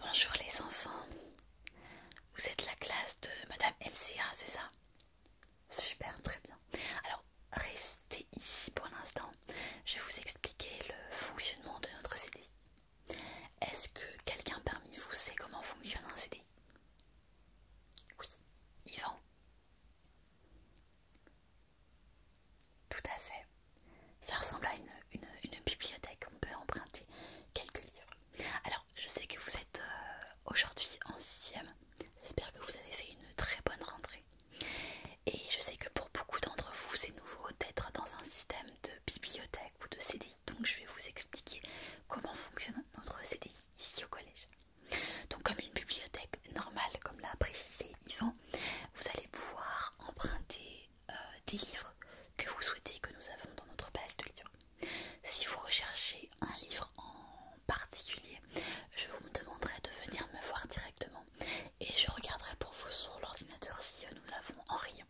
Bonjour les enfants. Vous êtes la classe de Madame Elsia, c'est ça Super, très bien. Alors, restez ici pour l'instant je vais vous expliquer le fonctionnement de notre CDI. Est-ce que quelqu'un parmi vous sait comment fonctionne un CDI Oui, Yvan Tout à fait. Ça ressemble à une, bibliothèque, on peut emprunter quelques livres. Alors, je sais que vous êtes euh, aujourd'hui en sixième. J'espère que vous avez fait une très bonne rentrée. Et je sais que pour beaucoup d'entre vous, c'est nouveau d'être dans un système de bibliothèque ou de CDI. Donc je vais vous expliquer comment fonctionne notre CDI ici au collège. Donc comme une bibliothèque normale, comme l'a précisé Yvan, vous allez pouvoir emprunter euh, des livres que vous souhaitez que nous avons dans notre base de livres. Si vous recherchez un livre en particulier, je vous demanderai de venir me voir directement et je regarderai pour vous sur l'ordinateur si euh, nous l'avons en rien.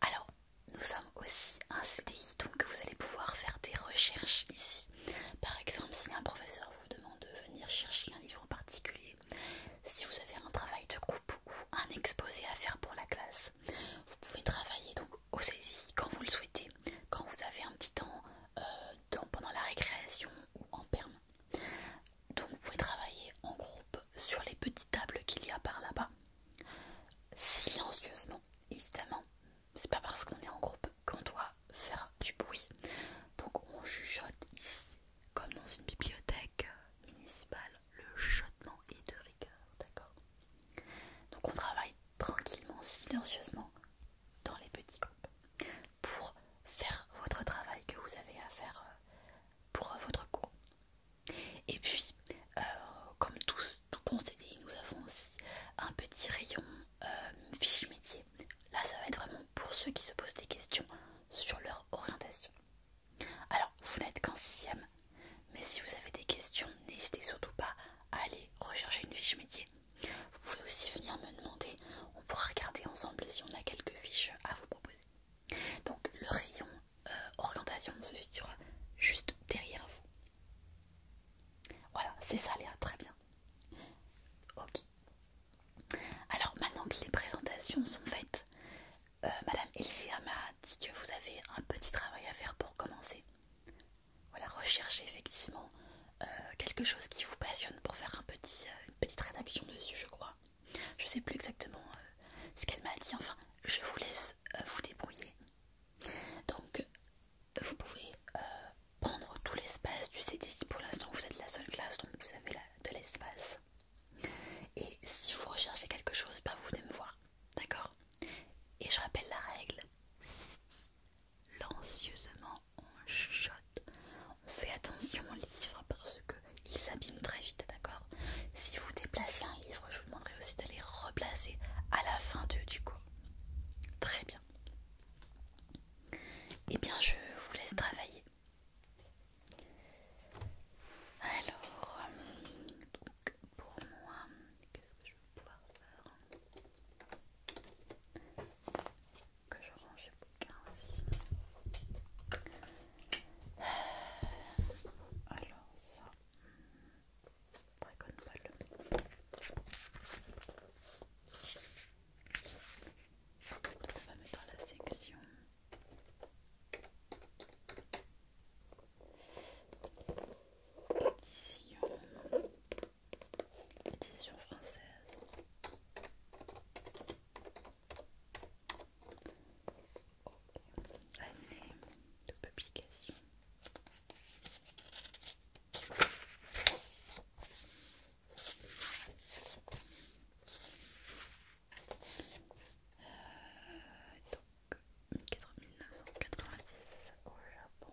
Alors, nous sommes aussi un CDI, donc vous allez pouvoir faire des recherches ici. Par exemple, si un professeur vous demande de venir chercher un livre en particulier, si vous avez un travail de groupe ou un exposé à faire pour la classe, vous pouvez travailler donc au CDI quand vous le souhaitez, quand vous avez un petit temps euh, pendant la récréation ou en permanence donc vous pouvez travailler en groupe sur les petites tables qu'il y a par là-bas, silencieusement évidemment. C'est pas parce qu'on est en groupe qu'on doit faire du bruit. Donc on chuchote ici, comme dans une bibliothèque euh, municipale, le chuchotement est de rigueur, d'accord Donc on travaille tranquillement, silencieusement dans les petits groupes pour faire votre travail que vous avez à faire euh, pour euh, votre cours. Et puis, euh, comme tous, tout concédés, nous avons aussi un petit rayon fiche métier. Là, ça va être vraiment pour ceux qui se posent des questions sur leur orientation. Alors, vous n'êtes qu'en sixième, mais si vous avez des questions, n'hésitez surtout pas à aller rechercher une fiche métier. Vous pouvez aussi venir me demander, on pourra regarder ensemble si on a quelques fiches à vous proposer. Donc le rayon euh, orientation se situe juste derrière vous. Voilà, c'est ça Léa, très bien. Ok. Alors maintenant que les présentations sont faites, euh, Madame Elsia m'a dit que vous avez un petit travail à faire pour commencer. Voilà, recherchez effectivement euh, quelque chose qui vous passionne pour faire euh, une petite rédaction dessus, je crois. Je sais plus exactement euh, ce qu'elle m'a dit, enfin, je vous laisse vous débrouiller. Donc, vous pouvez prendre tout l'espace du CDI. Pour l'instant, vous êtes la seule classe, donc vous avez de l'espace. Et si vous recherchez quelque chose, bah, vous venez me voir, d'accord Et je rappelle la règle silencieusement on chuchote, on fait attention aux livres parce que qu'ils s'abîment très vite, d'accord Si vous déplacez un livre, je vous demanderai aussi d'aller replacer à la fin de, du coup. Très bien. Eh bien, je vous laisse travailler. Alors, euh, donc pour moi, qu'est-ce que je vais pouvoir faire que je range les bouquins aussi. Alors ça, hmm, Dragon Ball. On va mettre dans la section. Édition édition française. Année oh, de publication. Euh, quatre donc 1990 au Japon.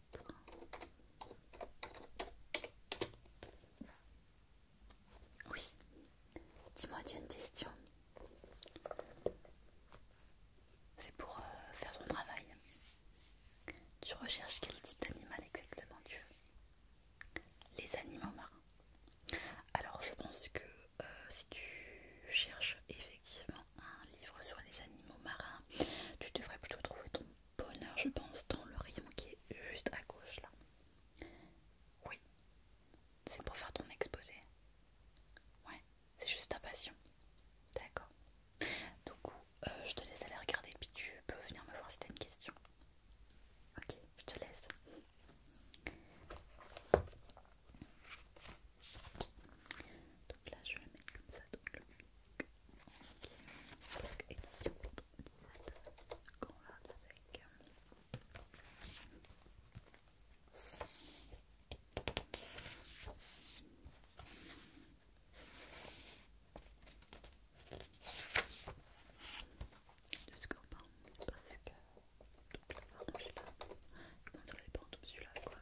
oui, dis-moi, tu as une question. C'est pour euh, faire ton travail. Tu recherches quel type d'animal exactement tu veux Les animaux marins. Alors je pense que euh, si tu cherches effectivement un livre sur les animaux marins, tu devrais plutôt trouver ton bonheur, je pense, dans le rayon qui est juste à gauche là. Oui, c'est pour faire ton exposé. Ouais, c'est juste ta passion. D'accord. Du coup, euh, je te laisse aller regarder, puis tu peux venir me voir si t'as une question. Ok, je te laisse. Donc là, je vais le mettre comme ça donc, le donc, édition qu'on va avec. Du scorpion, parce que toute la là, m'en sort les pentes, celui-là, quoi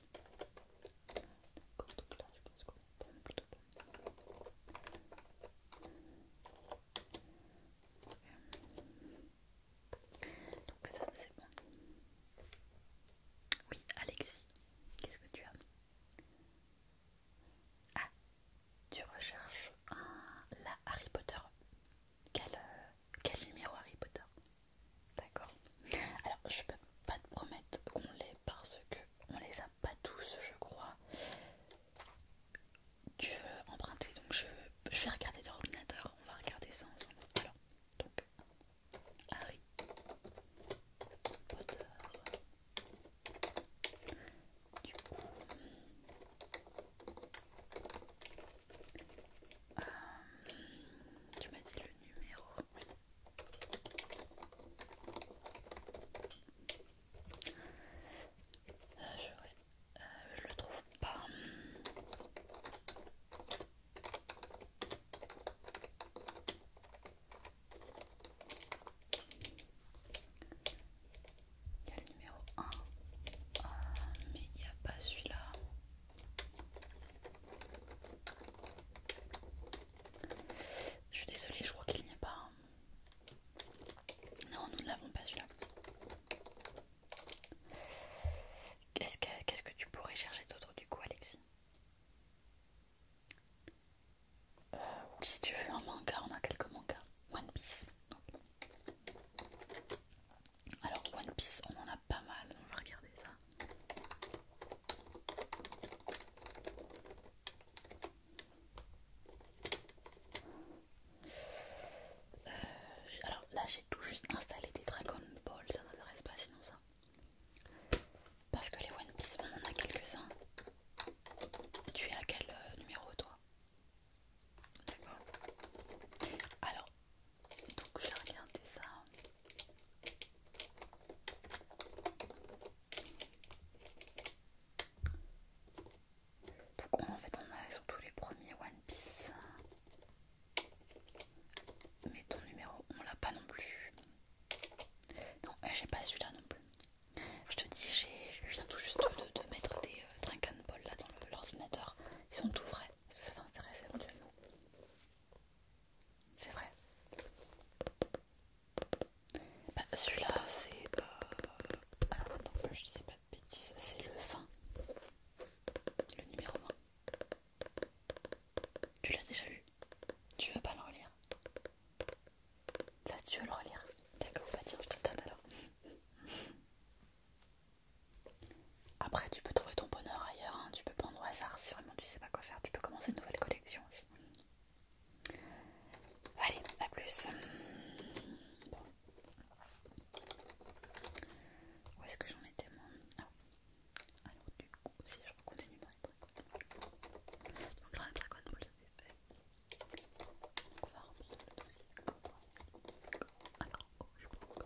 donc là Donc ça c'est bon. Oui, Alexis, qu'est-ce que tu as Ah, tu recherches la Harry Potter. Quel, euh, quel numéro Harry Potter D'accord Alors, je peux pas te promettre qu'on l'ait parce que on les a pas tous, je crois. Tu veux emprunter, donc je, vais regarder dans l'ordinateur. On va regarder ça ensemble. Alors, donc, Harry Potter. Du coup, euh, tu m'as dit le numéro euh, je, le trouve pas. Il y a le numéro 1, ah, mais il n'y a pas celui-là. Je suis désolée, je crois qu'il n'y a pas. Non, nous ne l'avons pas celui-là. Qu'est-ce que, tu pourrais chercher d'autre du coup, Alexis euh, si tu veux un manga, on a quelques mangas. One Piece. Alors One Piece, on en a pas mal, on va regarder ça. Euh, alors là j'ai tout juste installé des Dragon Ball, ça m'intéresse pas sinon ça. Parce que les One Piece, on en a quelques-uns. Tu es à quel euh, numéro toi D'accord. Alors donc j'ai regardé ça. Pourquoi en fait on a surtout les premiers One Piece. Mais ton numéro on l'a pas non plus. Non, euh, j'ai pas celui-là non plus. Je te dis, j'ai viens tout juste de, mettre des euh, drink Ball là dans l'ordinateur. Ils sont tout vrais. Est-ce que ça t'intéresse c'est vrai. Bah, Celui-là, c'est. Euh... Alors attends, je dis pas de bêtises, c'est le fin Le numéro 1. Tu l'as déjà lu Tu veux pas le relire Ça, tu veux le relire D'accord, pas dire je te le donne alors. Après, tu peux trouver ton bonheur ailleurs, hein. tu peux prendre au hasard si vraiment tu sais pas quoi faire, tu peux commencer une nouvelle collection aussi. Allez, à plus. Où est-ce que j'en étais moi ah. Alors, du coup, si je continue dans les dragons. Donc là, les dragons, vous on va reprendre le dossier. Alors, oh, je prends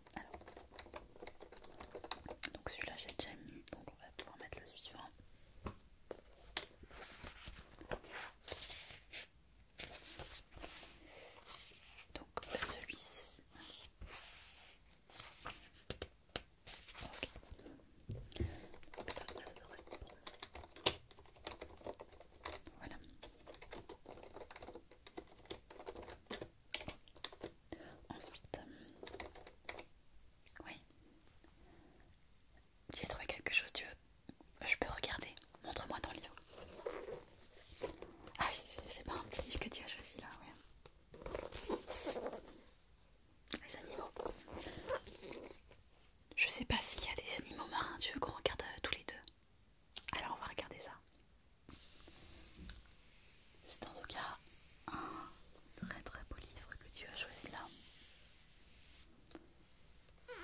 Alors, donc celui-là j'ai déjà mis, donc on va pouvoir mettre le suivant. Donc celui-ci. Voilà. Ensuite, euh, oui, j'ai trouvé quelque chose. Tu veux Je peux regarder. Montre-moi ton livre. Ah oui, c'est pas un petit livre que tu as choisi là, ouais. Les animaux. Je sais pas s'il y a des animaux marins. Tu veux qu'on regarde euh, tous les deux Alors on va regarder ça. C'est en tout cas un très très beau livre que tu as joué là sur les armes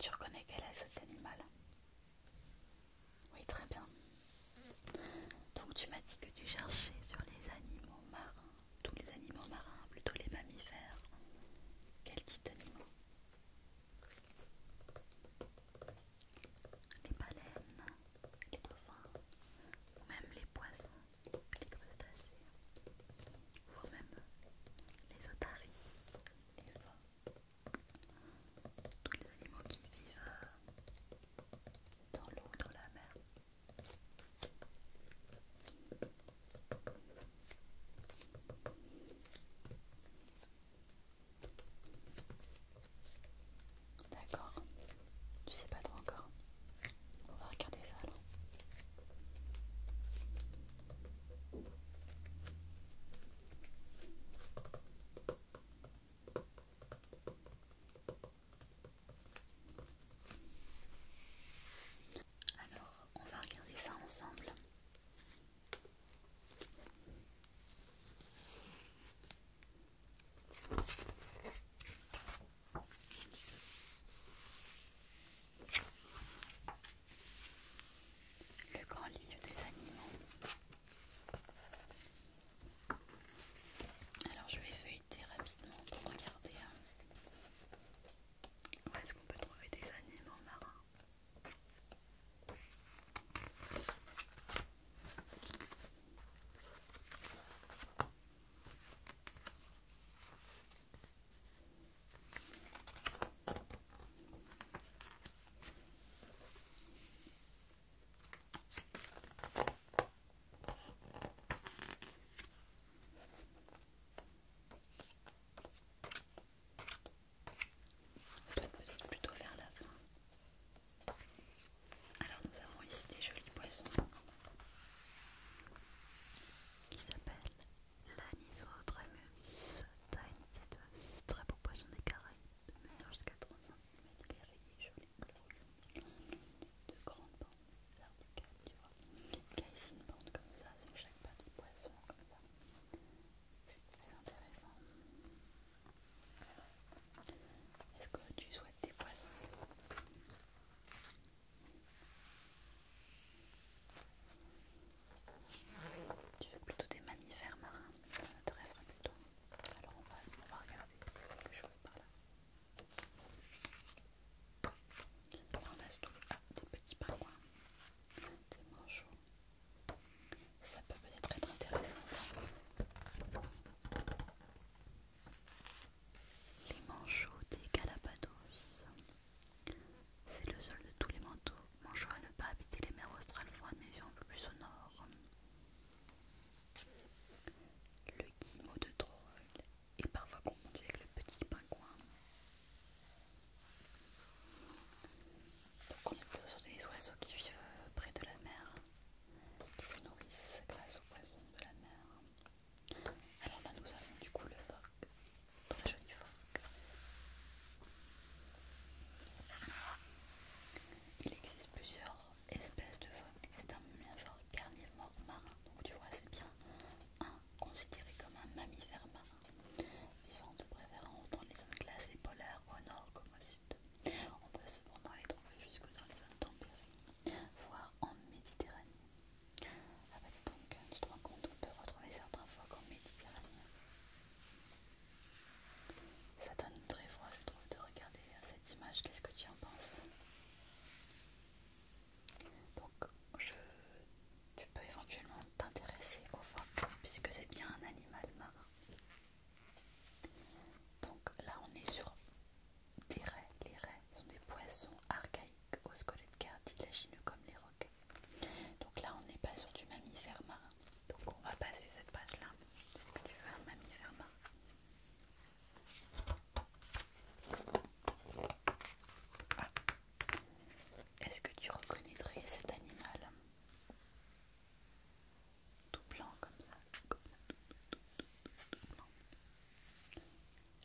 tu reconnais quel est cet animal Oui, très bien. Donc tu m'as dit que tu cherchais sur les animaux marins, tous les animaux marins, plutôt les mammifères. Quels types d'animaux Les baleines, les dauphins, ou même les poissons, les crustacés, ou même les otaries, les tous les animaux qui vivent dans l'eau, dans la mer. D'accord, tu sais pas trop encore. On va regarder ça alors. Alors, on va regarder ça ensemble. Le grand livre des animaux. Alors je vais feuilleter rapidement pour regarder euh, où est-ce qu'on peut trouver des animaux marins. Peut-être plutôt vers la fin. Alors nous avons ici des jolis poissons qui s'appellent l'anisodramus tainitetus, très beau poisson des Caraïbes, jusqu'à 30 cm, il est joli de grandes bandes verticales, tu vois. Là, ici, une bande comme ça sur chaque pas du poisson, comme ça. C'est très intéressant. Est-ce que tu souhaites des poissons Tu veux plutôt des mammifères marins Ça m'intéresserait plutôt. Alors on va, regarder s'il y a quelque chose par là. On a tout ah, des petits pingouins, des manchots. Ça peut peut-être être intéressant ça. Les manchots des Galapagos. C'est le seul de tous les manteaux. Manchots à ne pas habiter les mers australes froides mais vivant le plus au nord. Le guimau de troll est parfois confondu avec le petit pingouin. Donc on est sur des oiseaux qui vivent euh, près de la mer, qui se nourrissent grâce aux poissons de la mer. Alors là nous avons du coup le phoque, très joli phoque. Il existe plusieurs espèce de phoque, c'est un carnivore marin, donc tu vois c'est bien à considéré comme un mammifère marin, vivant de préférence dans les zones glacées polaires au nord comme au sud. On peut cependant les trouver jusque dans les zones tempérées, voire en Méditerranée. Ah bah dis donc, tu te rends compte, on peut retrouver certains phoques en Méditerranée. Ça donne très froid, je trouve, de regarder cette image. Qu'est-ce que tu en penses Donc, tu peux éventuellement t'intéresser au phoque puisque c'est bien un animal marin. Donc là, on est sur des raies. Les raies sont des poissons archaïques aux squelettes cartilagineux comme les roquets. Donc là, on n'est pas sur du mammifère marin. Donc on va passer cette page là. Est-ce que tu veux un mammifère main ah. Est-ce que tu reconnaîtrais cet animal Tout blanc comme ça.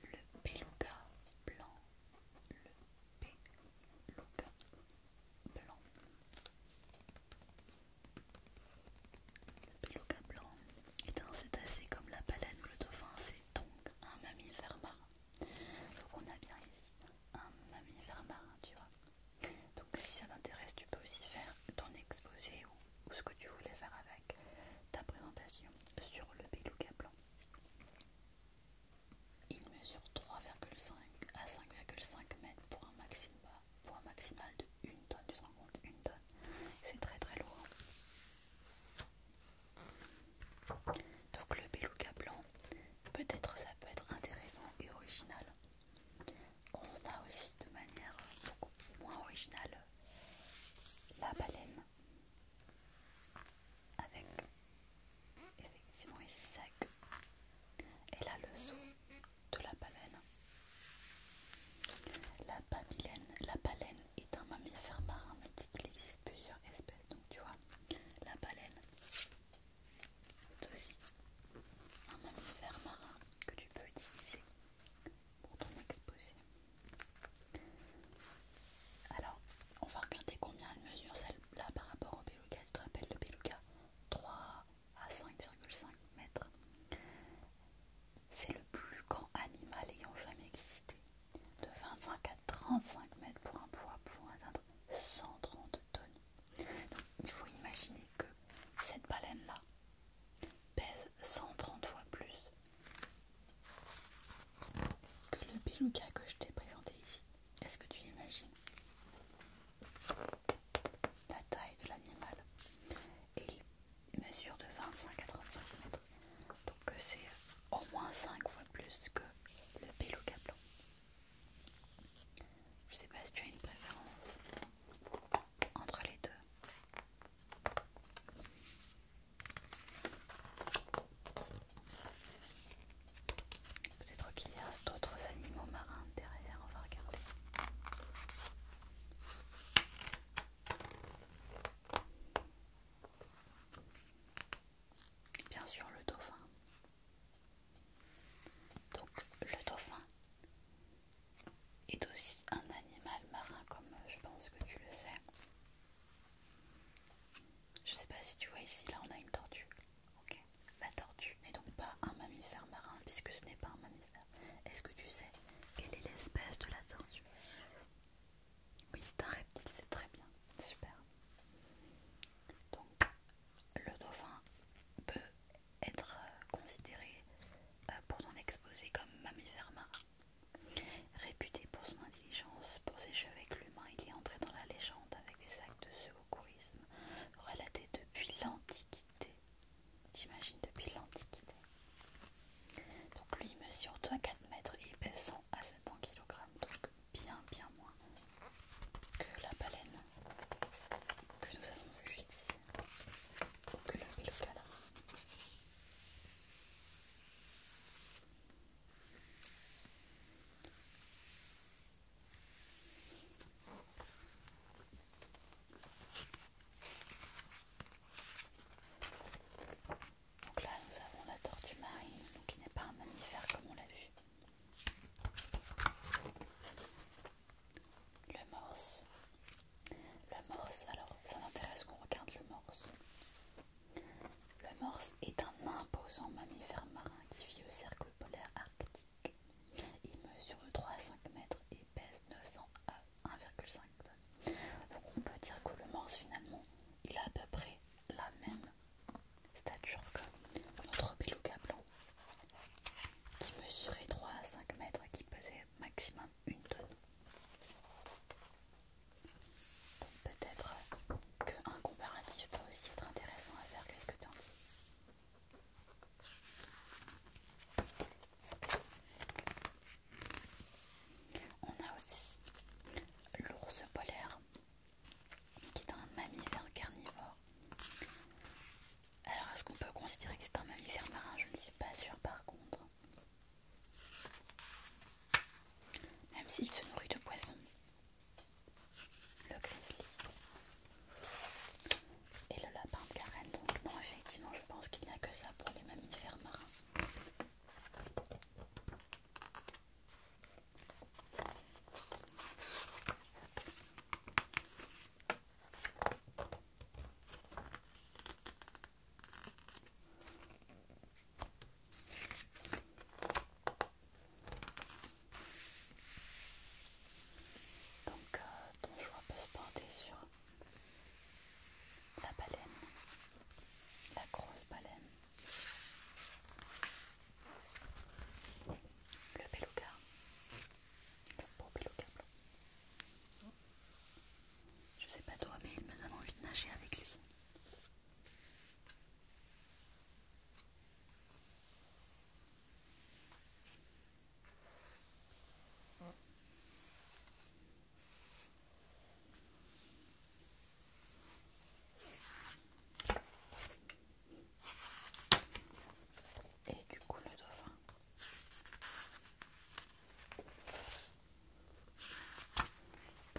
Le peluga blanc. Le peluga blanc. Le beluga blanc est un cétacé comme la baleine ou le dauphin, c'est donc un mammifère marin. Donc on a bien ici un mammifère marin, tu vois. Donc si ça t'intéresse, tu peux aussi faire ton exposé ou, ce que tu voulais faire avec ta présentation sur le beluga blanc. Il mesure 3,5 à 5,5 mètres pour un maximum poids maximal de 1 tonne, tu te rends compte, 1 tonne, c'est très très lourd. Donc le beluga blanc, peut-être ça peut être intéressant et original. On a aussi de manière beaucoup moins originale la baleine avec effectivement les sacs et là le saut de la baleine. La, la baleine est un mammifère marin, on dit qu'il existe plusieurs espèces, donc tu vois, la baleine c'est aussi un mammifère marin que tu peux utiliser pour ton exposé. Alors, on va regarder combien elle mesure celle-là par rapport au beluga. Tu te rappelles le beluga 3 à 5,5 mètres. C'est le plus grand animal ayant jamais existé, de 25 à 35 mètres pour un poids pouvant atteindre 130 tonnes. Donc il faut imaginer que cette baleine-là pèse 130 fois plus que le béluga que je t'ai présenté ici. Est-ce que tu imagines la taille de l'animal et il mesure de 25 à 35 mètres donc euh, c'est au moins 5 fois plus que le pélo blanc je sais pas si tu as une préférence entre les deux Peut-être qu'il y a d'autres animaux marins derrière, on va regarder. Bien sûr, le dauphin. Donc, le dauphin est aussi un animal marin, comme je pense que tu le sais. Je sais pas si tu vois ici, là on a une tortue. Ok. La tortue n'est donc pas un mammifère marin puisque ce n'est pas un mammifère. Est-ce que tu sais quelle est l'espèce de la tortue Oui, c'est un reptile, c'est très bien. Super. Donc, le dauphin peut être euh, considéré euh, pour son exposé comme mammifère marin. Réputé pour son intelligence, pour ses cheveux avec l'humain, il est entré dans la légende avec des sacs de relaté courisme, depuis l'Antiquité. J'imagine depuis l'Antiquité. Donc lui, il mesure 24 4 mètres et il pèse 100 à 700 kg, donc bien bien moins que la baleine que nous avons vu juste ici, ou que le donc là, nous avons la tortue marine, qui n'est pas un mammifère comme on l'a vu. Le morse. Le morse, alors ça m'intéresse qu'on regarde le morse. Le morse est un imposant mammifère marin qui vit au cercle polaire arctique. Il mesure 3 à 5 mètres et pèse 900 à 1,5 tonnes. Donc on peut dire que le morse finalement, il a à peu près la même stature que notre beluga blanc qui mesurait 3 à 5 mètres et qui pesait maximum 1 tonne. Donc peut-être qu'un comparatif peut aussi être intéressant à faire, qu'est-ce que tu en dis on a aussi l'ours polaire qui est un mammifère carnivore. Alors est-ce qu'on peut considérer que c'est un mammifère marin Je ne suis pas sûre par contre. Même s'il se nourrit de poissons le grizzly et le lapin de Karen. Donc, non, effectivement, je pense qu'il n'y a que ça pour les mammifères marins. Donc, euh, ton choix peut se porter sur la baleine, la grosse baleine, le beluga, le beau beluga Je sais pas toi, mais il me donne envie de nager avec lui. Et du coup le dauphin.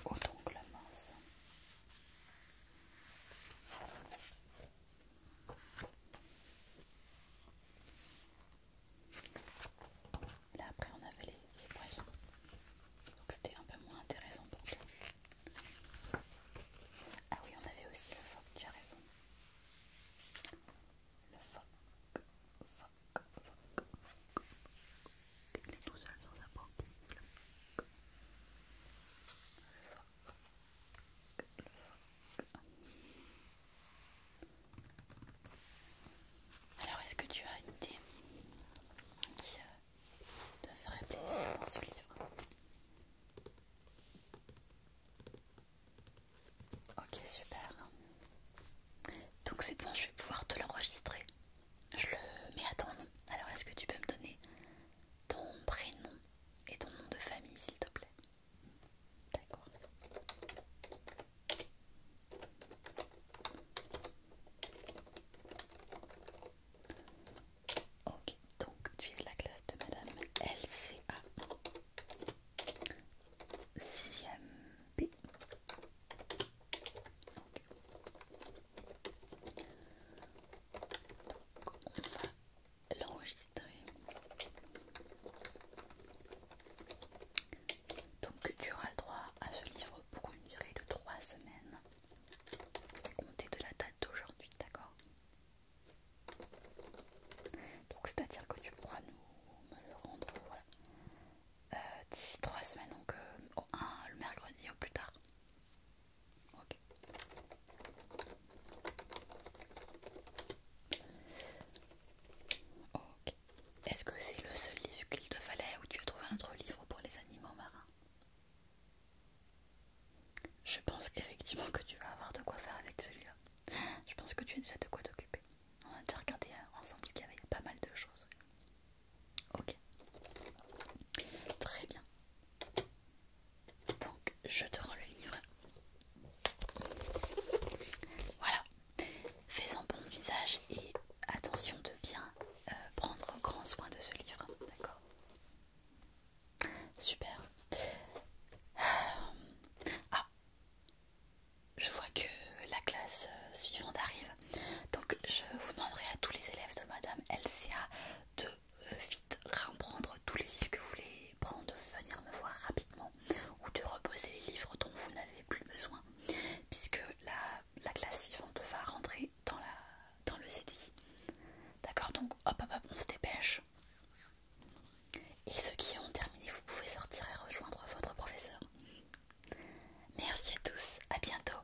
Au doncle la mince. Là après on avait les, poissons, donc c'était un peu moins intéressant pour toi. Ah oui on avait aussi le phoque, tu as raison. Le phoque, phoque, phoque, phoque. Il est tout seul dans sa banque. Le phoque. Alors, est-ce que tu as une idée qui euh, te ferait plaisir dans ce livre Ok, super. Donc c'est bon, je vais pouvoir te l'enregistrer. Je le mets à ton nom. Alors, est-ce que tu peux me donner ton prénom et ton nom de famille, s'il te plaît. D'accord. Ok, donc tu es de la classe de Madame LCA 6 B. Donc on va l'enregistrer. Donc tu auras le droit à ce livre pour une durée de 3 semaines. Comptez de la date d'aujourd'hui, d'accord Donc c'est-à-dire que tu pourras nous le rendre euh, d'ici 3 semaines, donc euh, le mercredi au plus tard. Ok. Ok. Est-ce que c'est le seul livre qu'il te fallait ou tu as trouvé un autre livre pour les animaux marins Je pense effectivement que tu vas avoir de quoi faire avec celui-là. Je pense que tu as déjà de quoi t'occuper. On a déjà regardé ensemble qu'il y avait pas mal de choses. Ok. Très bien. Donc je te rends le livre. Voilà. Fais-en bon usage et attention de bien euh, prendre grand soin de ce livre. D'accord Super. Euh, ah Je vois que la classe euh, suivante arrive. Donc je vous demanderai à tous les élèves de Madame LCA de euh, vite reprendre tous les livres que vous voulez prendre, venir me voir rapidement ou de reposer les livres dont vous n'avez plus besoin puisque la, classe suivante va rentrer dans, la, dans le CDI. D'accord Donc hop hop hop, on se dépêche. Et ceux qui ont terminé, vous pouvez sortir et rejoindre votre professeur. Merci à tous, à bientôt.